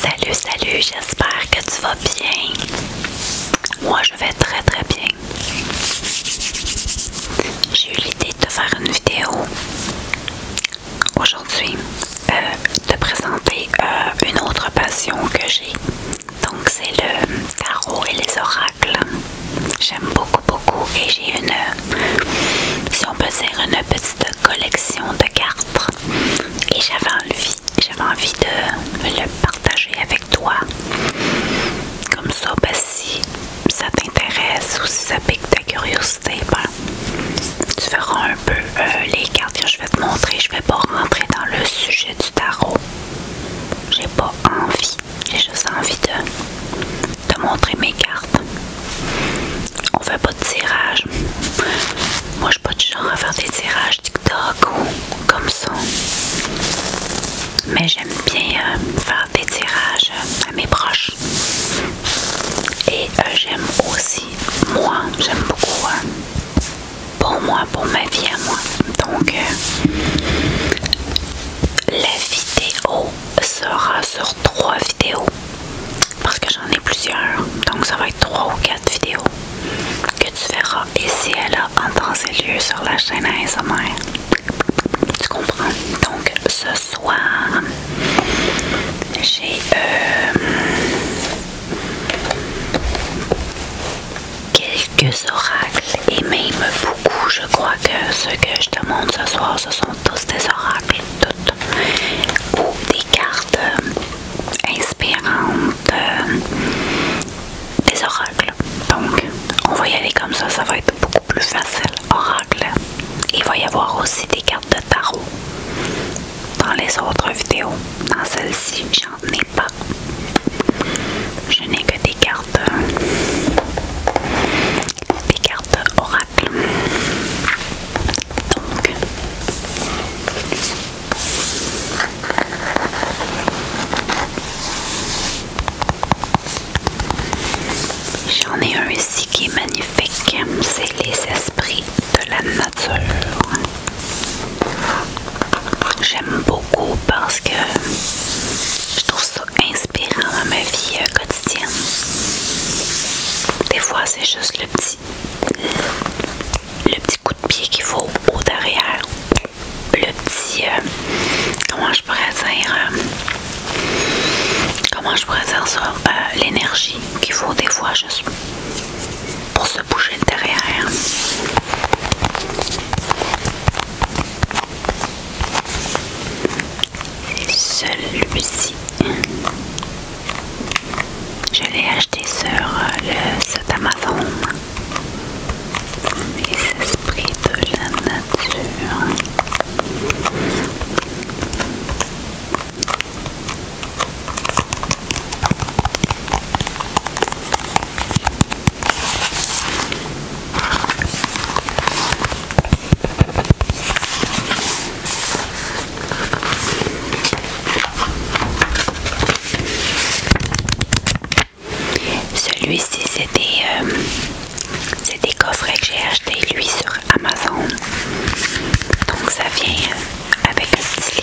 Salut, salut, j'espère que tu vas bien. Moi, je vais très très bien. J'ai eu l'idée de te faire une vidéo aujourd'hui, te euh, de présenter euh, une autre passion que j'ai. Donc, c'est le tarot et les oracles. J'aime beaucoup, beaucoup. Et j'ai une, si on peut dire, une petite collection de cartes. Et j'avais envie, j'avais envie de le partager avec toi. Comme ça, ben, si ça t'intéresse ou si ça pique ta curiosité, ben, tu verras un peu euh, les cartes que je vais te montrer. Je vais pas rentrer dans le sujet du tarot. J'ai pas envie. J'ai juste envie de, de montrer mes cartes. On fait pas de tirage. Moi, je suis pas du genre à faire des tirages TikTok ou comme ça. Mais j'aime bien euh, faire des tirages euh, à mes proches. Et euh, j'aime aussi, moi, j'aime beaucoup pour moi, pour ma vie à moi. Donc, la vidéo sera sur trois vidéos parce que j'en ai plusieurs donc ça va être trois ou quatre vidéos que tu verras ici et là en temps et lieu sur la chaîne ASMR tu comprends donc ce soir j'ai euh, quelques oracles et même beaucoup. Je crois que ce que je te montre ce soir, ce sont tous des oracles, toutes. Ou des cartes euh, inspirantes, euh, des oracles. Donc, on va y aller comme ça, ça va être beaucoup plus facile. Oracle. Il va y avoir aussi des cartes de tarot dans les autres vidéos. Dans celle-ci, j'en ai pas je n'ai que des cartes, des cartes oracles. Donc, j'en ai un ici qui est magnifique. C'est les esprits de la nature. J'aime beaucoup parce que je trouve ça inspirant dans ma vie euh, quotidienne. Des fois, c'est juste le petit, le petit coup de pied qu'il faut au derrière. Le petit, euh, comment je pourrais dire, euh, comment je pourrais ça, l'énergie qu'il faut des fois juste pour se bouger derrière. Celui-ci. Je l'ai acheté sur euh, le site Amazon. Les esprits de la nature. Celui-ci, c'était euh, des, coffrets que j'ai acheté lui sur Amazon. Donc ça vient avec un petit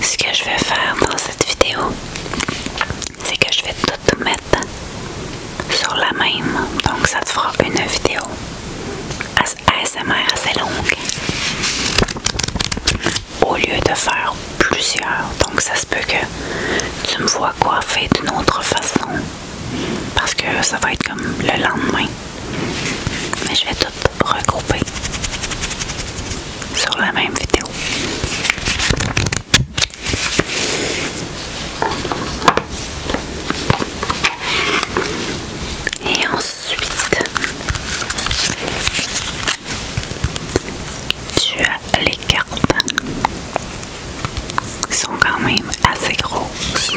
Ce que je vais faire dans cette vidéo, c'est que je vais tout mettre sur la même, donc ça te fera une vidéo ASMR assez longue au lieu de faire plusieurs, donc ça se peut que tu me vois coiffer d'une autre façon parce que ça va être comme le lendemain. Mais je vais tout regrouper sur la même vidéo. Et ensuite, tu as les cartes sont quand même assez grosses.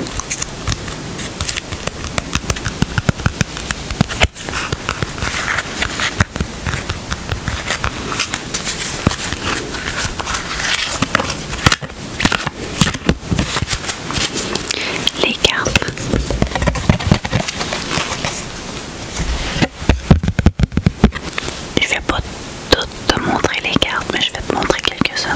Les cartes je vais pas te montrer les cartes, mais je vais te montrer quelques-unes.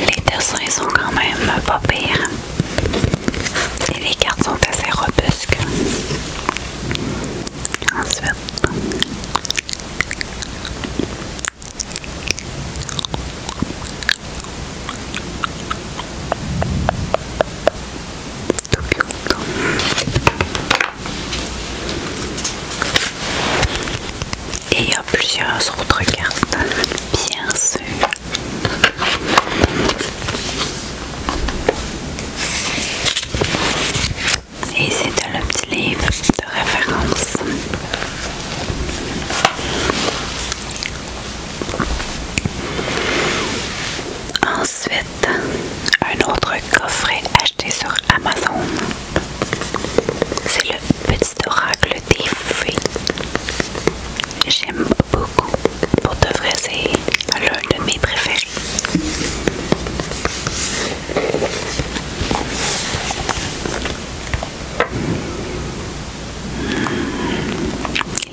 Les dessins sont quand même pas pires. Et les cartes sont assez robustes. Et il y a plusieurs autres cartes, bien sûr. Et c'est un petit livre de référence. Ensuite, un autre coffret acheté sur Amazon. C'est le petit oracle J'aime beaucoup. Pour de vrai, c'est l'un de mes préférés.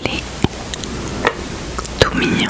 Il est tout mignon.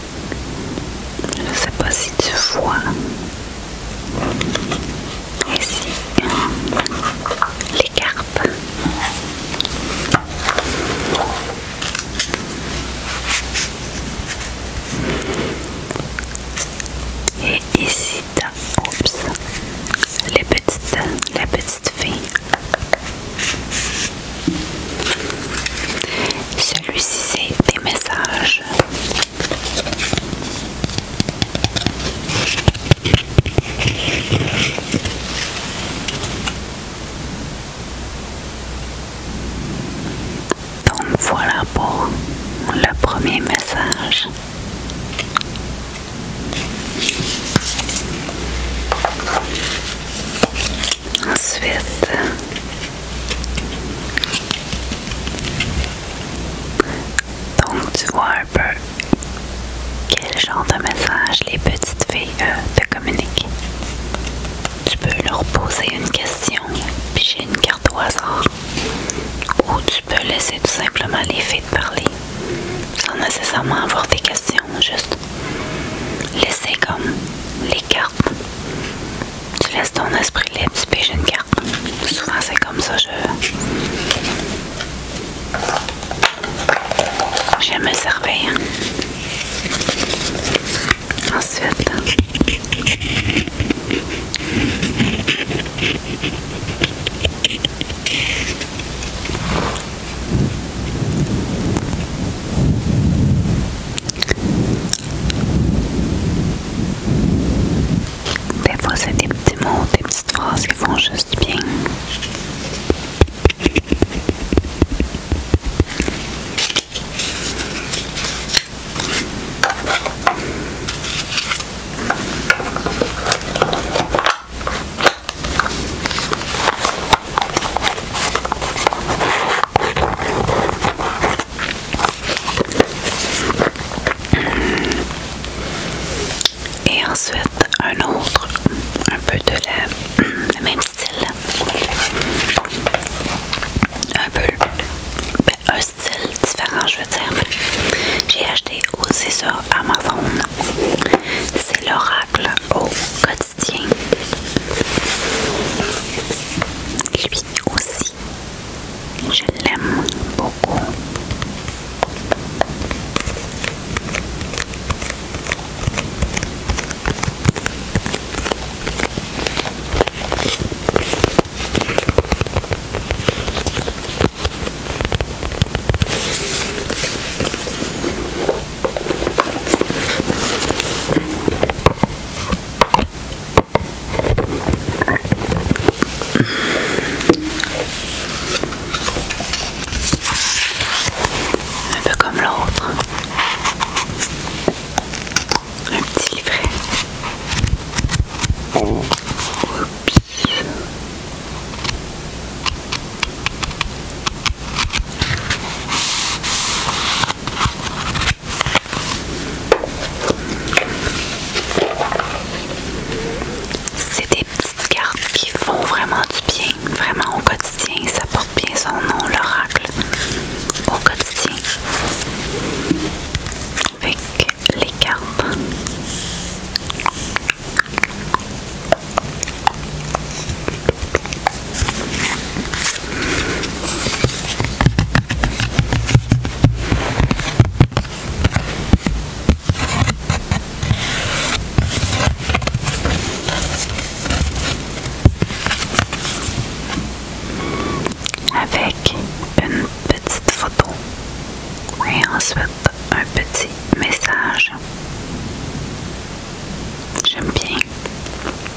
Je ne sais pas si tu vois. Ici, les carpes. Et ici, oups, les petites, la petite fille. Celui-ci, c'est des messages donc voilà pour le premier message. Ensuite, donc tu vois un peu quel genre de message les petites filles te euh, communiquent. Tu peux leur poser une question, j'ai une carte au hasard, ou tu peux laisser tout simplement les filles te parler, sans nécessairement avoir des questions, juste laisser comme les carte. Tu laisses ton esprit libre, tu piges une carte. Souvent c'est comme ça, je. J'aime me surveille. Ensuite. Des fois, c'est des petits mots, des petites phrases qui font juste bien. Et ensuite un autre, un peu de la, même style. Un peu ben, un style différent, je veux dire. J'ai acheté aussi sur Amazon. C'est l'oracle au quotidien aussi. Je l'aime beaucoup. Un peu comme l'autre. Un petit livret. C'est des petites cartes qui font vraiment du bien, vraiment au quotidien. Ça porte bien son nom, l'oracle, au quotidien. Avec les cartes. Avec une petite photo et ensuite un petit message. J'aime bien.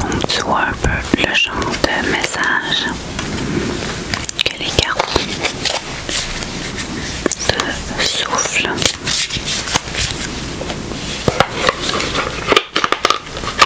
Donc tu vois un peu le genre de message que les cartes te soufflent.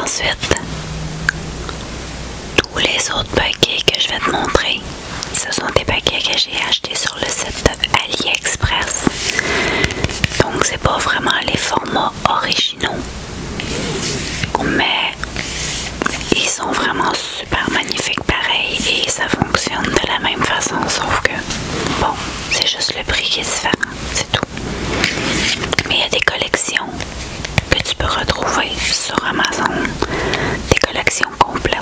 Ensuite, tous les autres paquets que je vais te montrer, ce sont des paquets que j'ai achetés sur le site AliExpress. Donc c'est pas vraiment les formats originaux. Mais ils sont vraiment super magnifiques pareil et ça fonctionne de la même façon sauf que bon c'est juste le prix qui est différent c'est tout. Mais il y a des collections que tu peux retrouver sur Amazon, des collections complètes,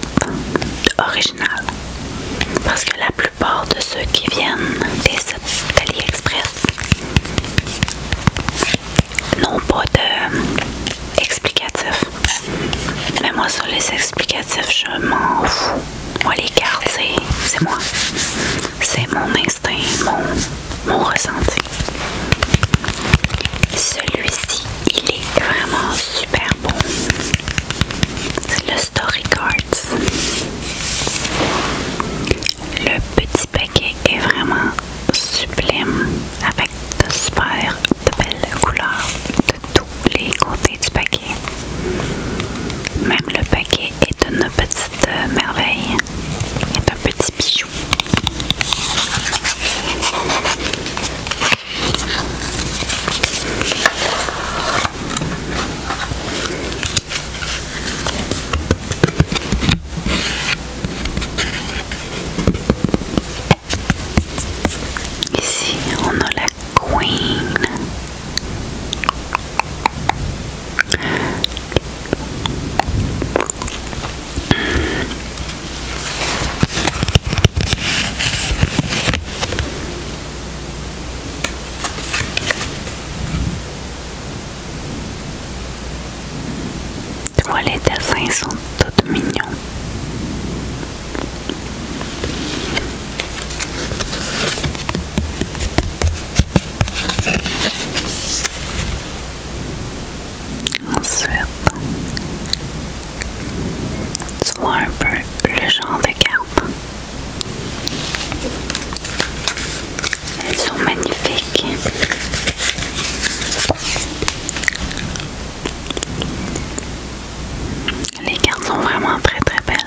originales. Parce que la plupart de ceux qui viennent des sites d'AliExpress n'ont pas d'explicatif. Euh, Mais moi, sur les explicatifs, je m'en fous. Moi, les cartes, c'est moi. C'est mon instinct, mon, ressenti. Celui-ci, il est vraiment super bon. C'est le Story Cards. Le petit paquet est vraiment sublime avec de super belles couleurs de tous les côtés du paquet. Même le paquet est de une petite de merveille est un petit bijou. Ici, on a la Queen. Tu vois, les dessins sont toutes mignons. Ensuite, tu vois un peu le genre de cartes. Elles sont magnifiques. Les cartes sont vraiment très très belles.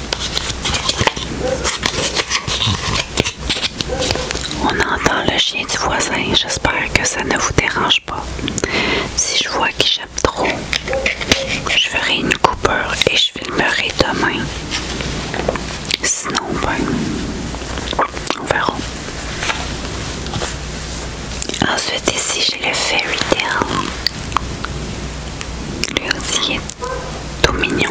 On entend le chien du voisin, j'espère que ça ne vous dérange pas. Si je vois qu'il chappe trop, je ferai une coupeur et je filmerai demain. Sinon, ben, on verra. Ensuite, ici, j'ai le fairy tale. le aussi tout mignon.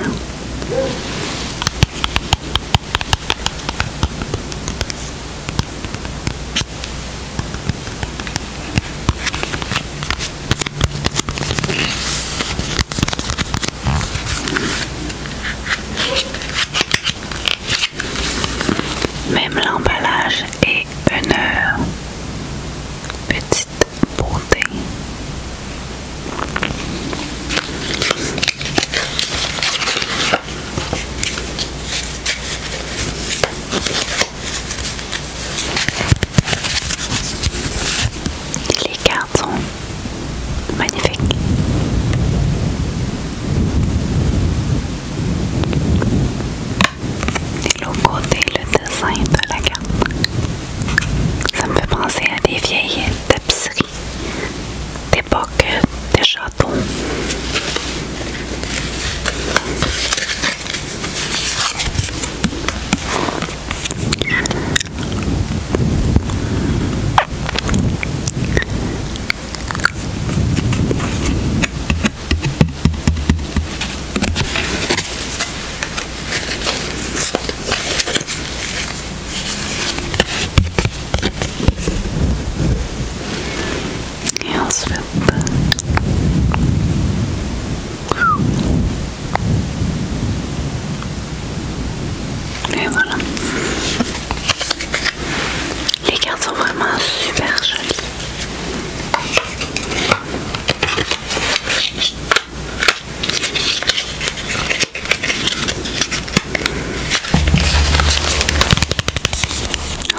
Même l'emballage est une petite Bolden. Les cartes sont magnifiques. l'autre côté, le dessin de la carte. Ça me fait penser à des vieilles tapisseries d'époque des châteaux. Et Et Les cartes sont vraiment super jolies.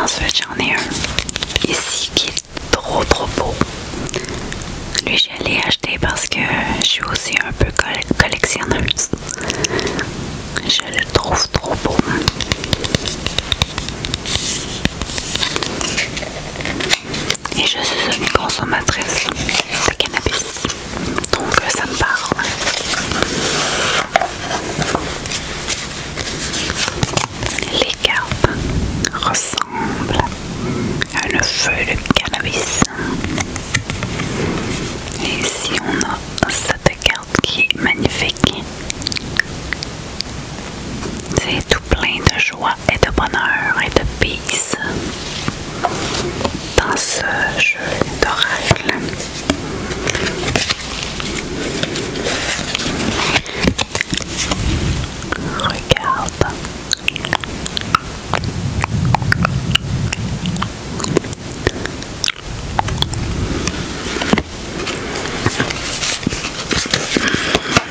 Ensuite j'en ai un ici qui est trop trop beau. Lui je l'ai acheté parce que je suis aussi un peu collectionneuse. Je le trouve trop beau et je suis une consommatrice de cannabis. Donc euh, ça me parle. Les cartes ressemblent à un feu de cannabis. Et ici on a cette carte qui est magnifique. C'est tout plein de joie et de bonheur et de peace dans ce jeu d'oracle. Regarde est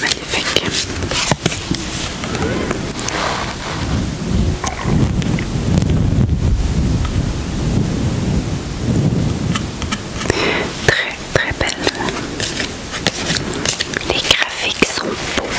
magnifique. Très très belle. Les graphiques sont beaux.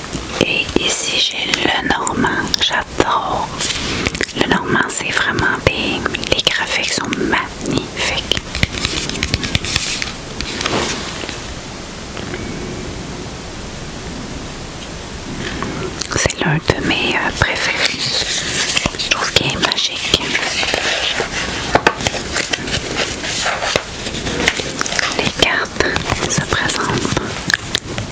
Et ici, j'ai le normand. J'adore. Le normand, c'est vraiment bien. Les graphiques sont magnifiques. C'est l'un de mes euh, préférés. Je trouve qu'il est magique. Les cartes se présentent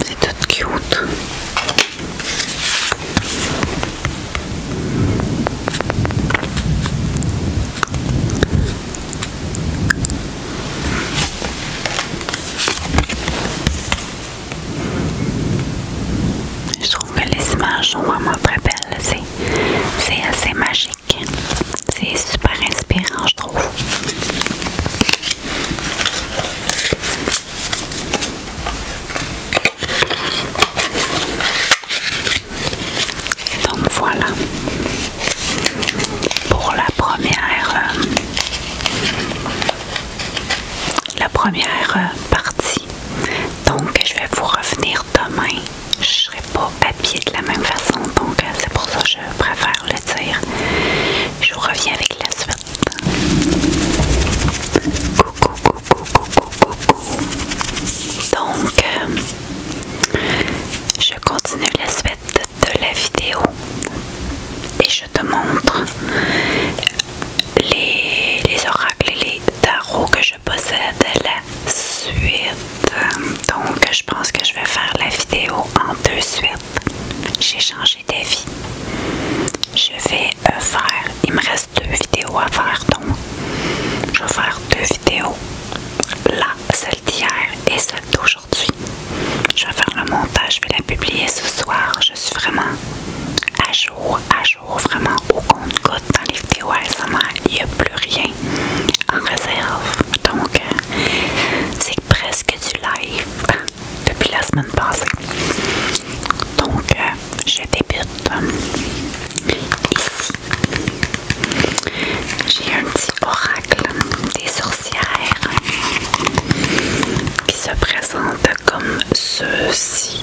C'est tout cute. Je trouve que les images sont vraiment très belles. C'est c'est assez magique. C'est super inspirant, je trouve. Donc voilà pour la première euh, la première euh, partie donc, je vais vous revenir demain. Je ne serai pas habillée de la même façon, donc euh, c'est pour ça que je préfère le dire. Je reviens avec la suite. Coucou, coucou, coucou, coucou. Donc, euh, je continue la suite de la vidéo et je te montre les, oracles et les tarots que possède la suite. Donc, je pense que je vais faire la vidéo en deux suites. J'ai changé d'avis. Je vais euh, faire, il me reste deux vidéos à faire, donc je vais faire deux vidéos. Là, celle d'hier et celle d'aujourd'hui. Je vais faire le montage, je vais la publier ce soir. Je suis vraiment à jour, à jour vraiment au compte-goutte dans les vidéos ASMR, il n'y a plus rien en réserve. Donc, euh, c'est presque du live depuis la semaine passée. Donc, euh, je débute euh, ici. J'ai un petit oracle des sorcières qui se présente comme ceci.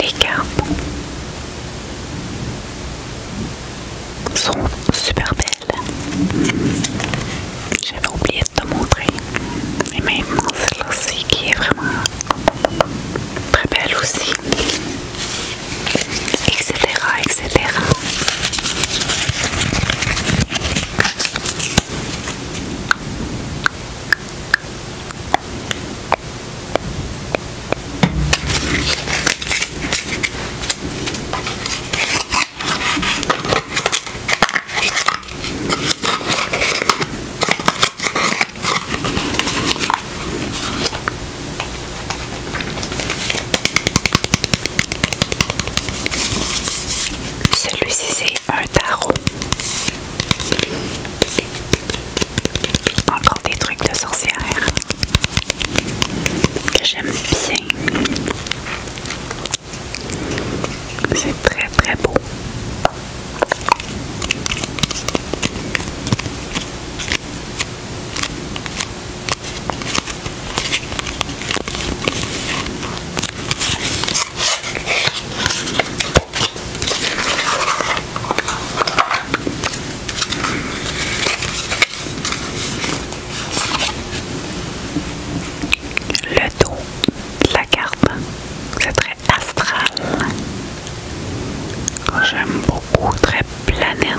Les cartes sont super belles. J'avais oublié de te montrer. mais même celle-ci qui est vraiment très belle aussi, etc. etc. Celui-ci c'est un tarot. Encore des trucs de sorcière que j'aime bien. C'est très très beau. Le dos, la carpe c'est très astral oh, j'aime beaucoup, très planète.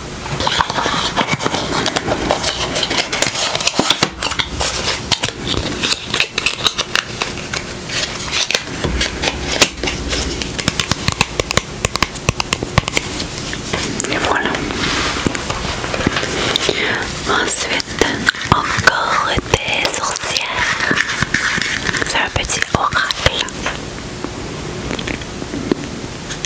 Ensuite, encore des sorcières. C'est un petit oracle.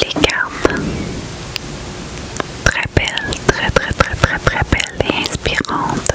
Les cartes. Très belles, très très très très très belles et inspirantes.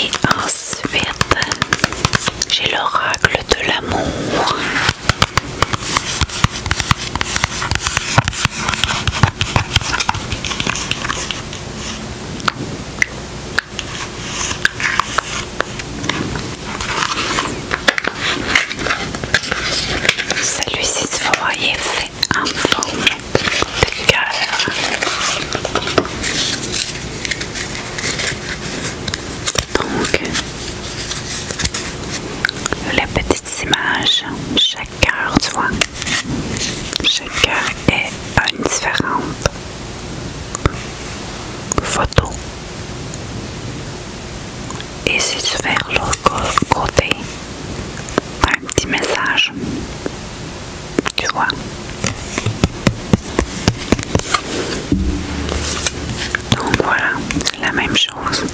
Et ensuite, j'ai l'oracle de l'amour. Celui-ci, si vous voyez, fait un forme de cœur. Donc, le petit images. Chaque cœur, tu vois. Chaque cœur est une différente photo. Et si tu vers l'autre côté, un petit message. Tu vois. Donc voilà, c'est la même chose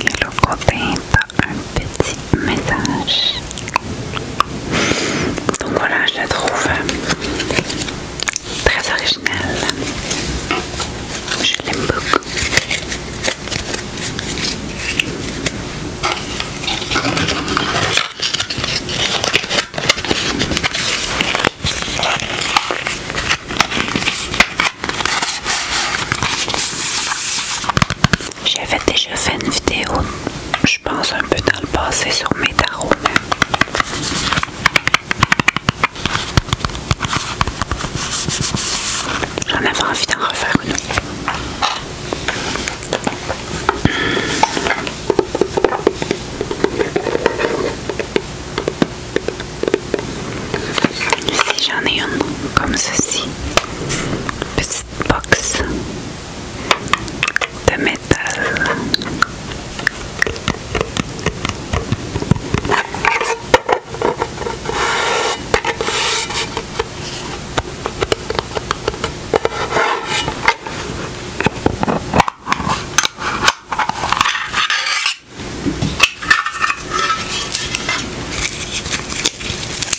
le copain un petit message. Donc voilà, je la trouve très originale. Je l'aime beaucoup. J'avais déjà fait une vidéo, je pense un peu dans le passé, sur mes tarots. J'en avais envie d'en refaire une autre. Si j'en ai une comme ceci, petite box de métal.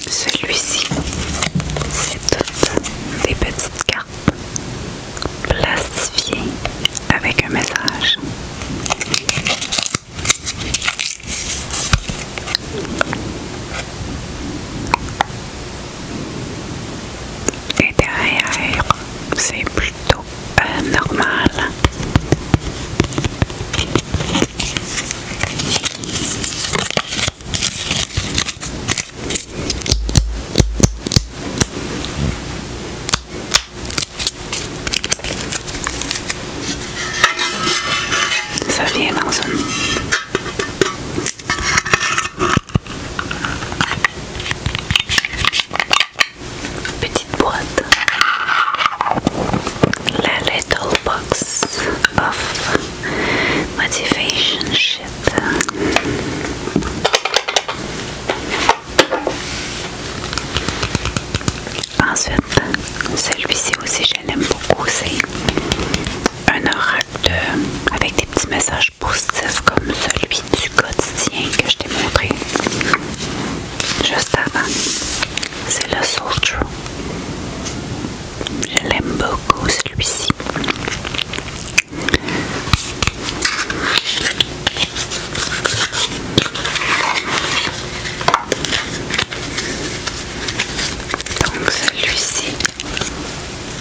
Celui-ci, c'est toutes des petites cartes plastifiées avec un message. Et derrière, c'est plutôt euh, normal. Ça vient dans un Petite boîte. La little box of motivation shit. Ensuite, celui-ci aussi je l'aime beaucoup, c'est un orage avec des petits messages positifs comme celui du quotidien que je t'ai montré juste avant. C'est le Soul True. Je l'aime beaucoup celui-ci. Donc celui-ci,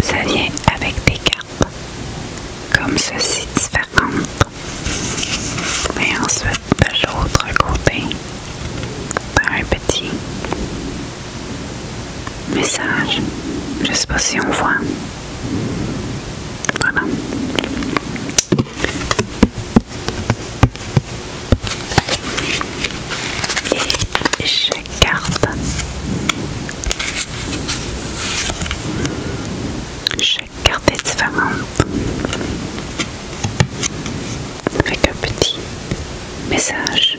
ça vient avec des cartes comme ceci différentes. Et ensuite de l'autre côté, un petit message. Je sais pas si on voit. Voilà. Et je carte Chaque carte est différente. Avec un petit message.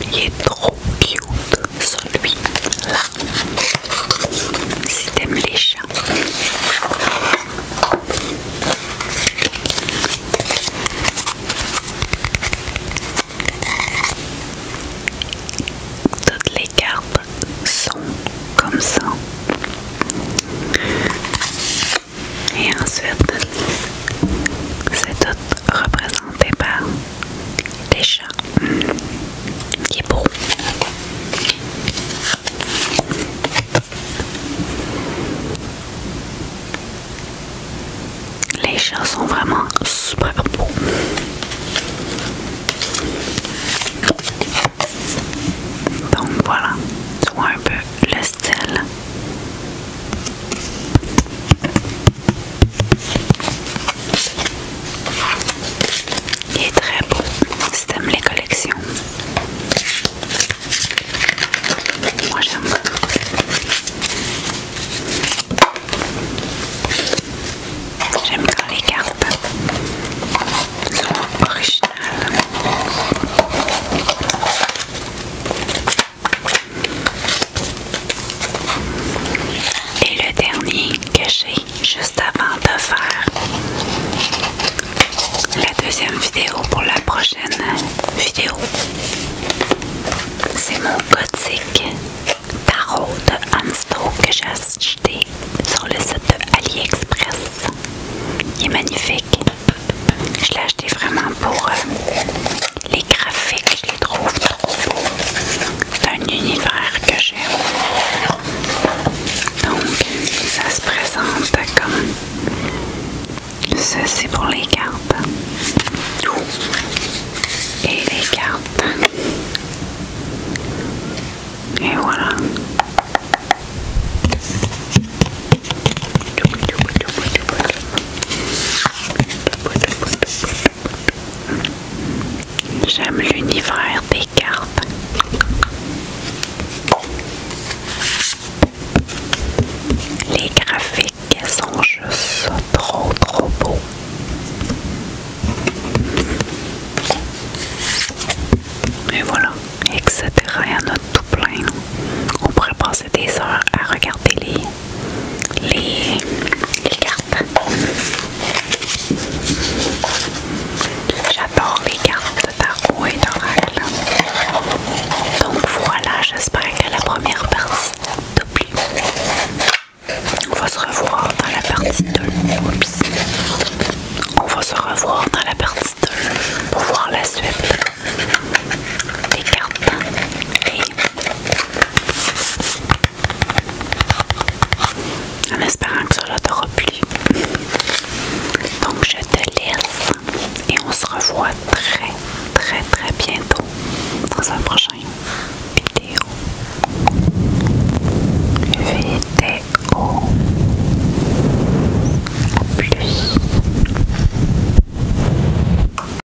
il est trop cute, celui-là. Si t'aimes les chats. Toutes les cartes sont comme ça. Et ensuite, c'est autre représentation fait chats qui est beau les chats sont vraiment super beaux donc voilà tu un peu le style il est très beau si t'aimes les collections. Moi j'aime. J'aime les cartes sont originales. Et le dernier que j'ai juste avant de faire la deuxième vidéo pour la prochaine vidéo, c'est mon gothique tarot de Ansto que j'ai acheté sur le site de AliExpress. Il est magnifique. Je l'ai acheté vraiment pour euh, les graphiques, je les trouve trop beaux. C'est un univers que j'aime. Donc, ça se présente comme C'est pour les cartes. Et les cartes. Et voilà. J'aime l'univers des cartes. Les graphiques sont juste trop trop beaux. Et voilà, etc. Il y en a tout plein. On pourrait passer des heures à regarder les les, cartes. J'adore les cartes tarot et d'oracle. Donc voilà, j'espère que la première partie t'a On va se revoir dans la partie 2. Oups. On va se revoir dans la partie 2 pour voir la suite des cartes et en espérant que cela t'aura plu. Donc je te laisse et on se revoit très très très bientôt dans un prochain vidéo. Vidéo. plus.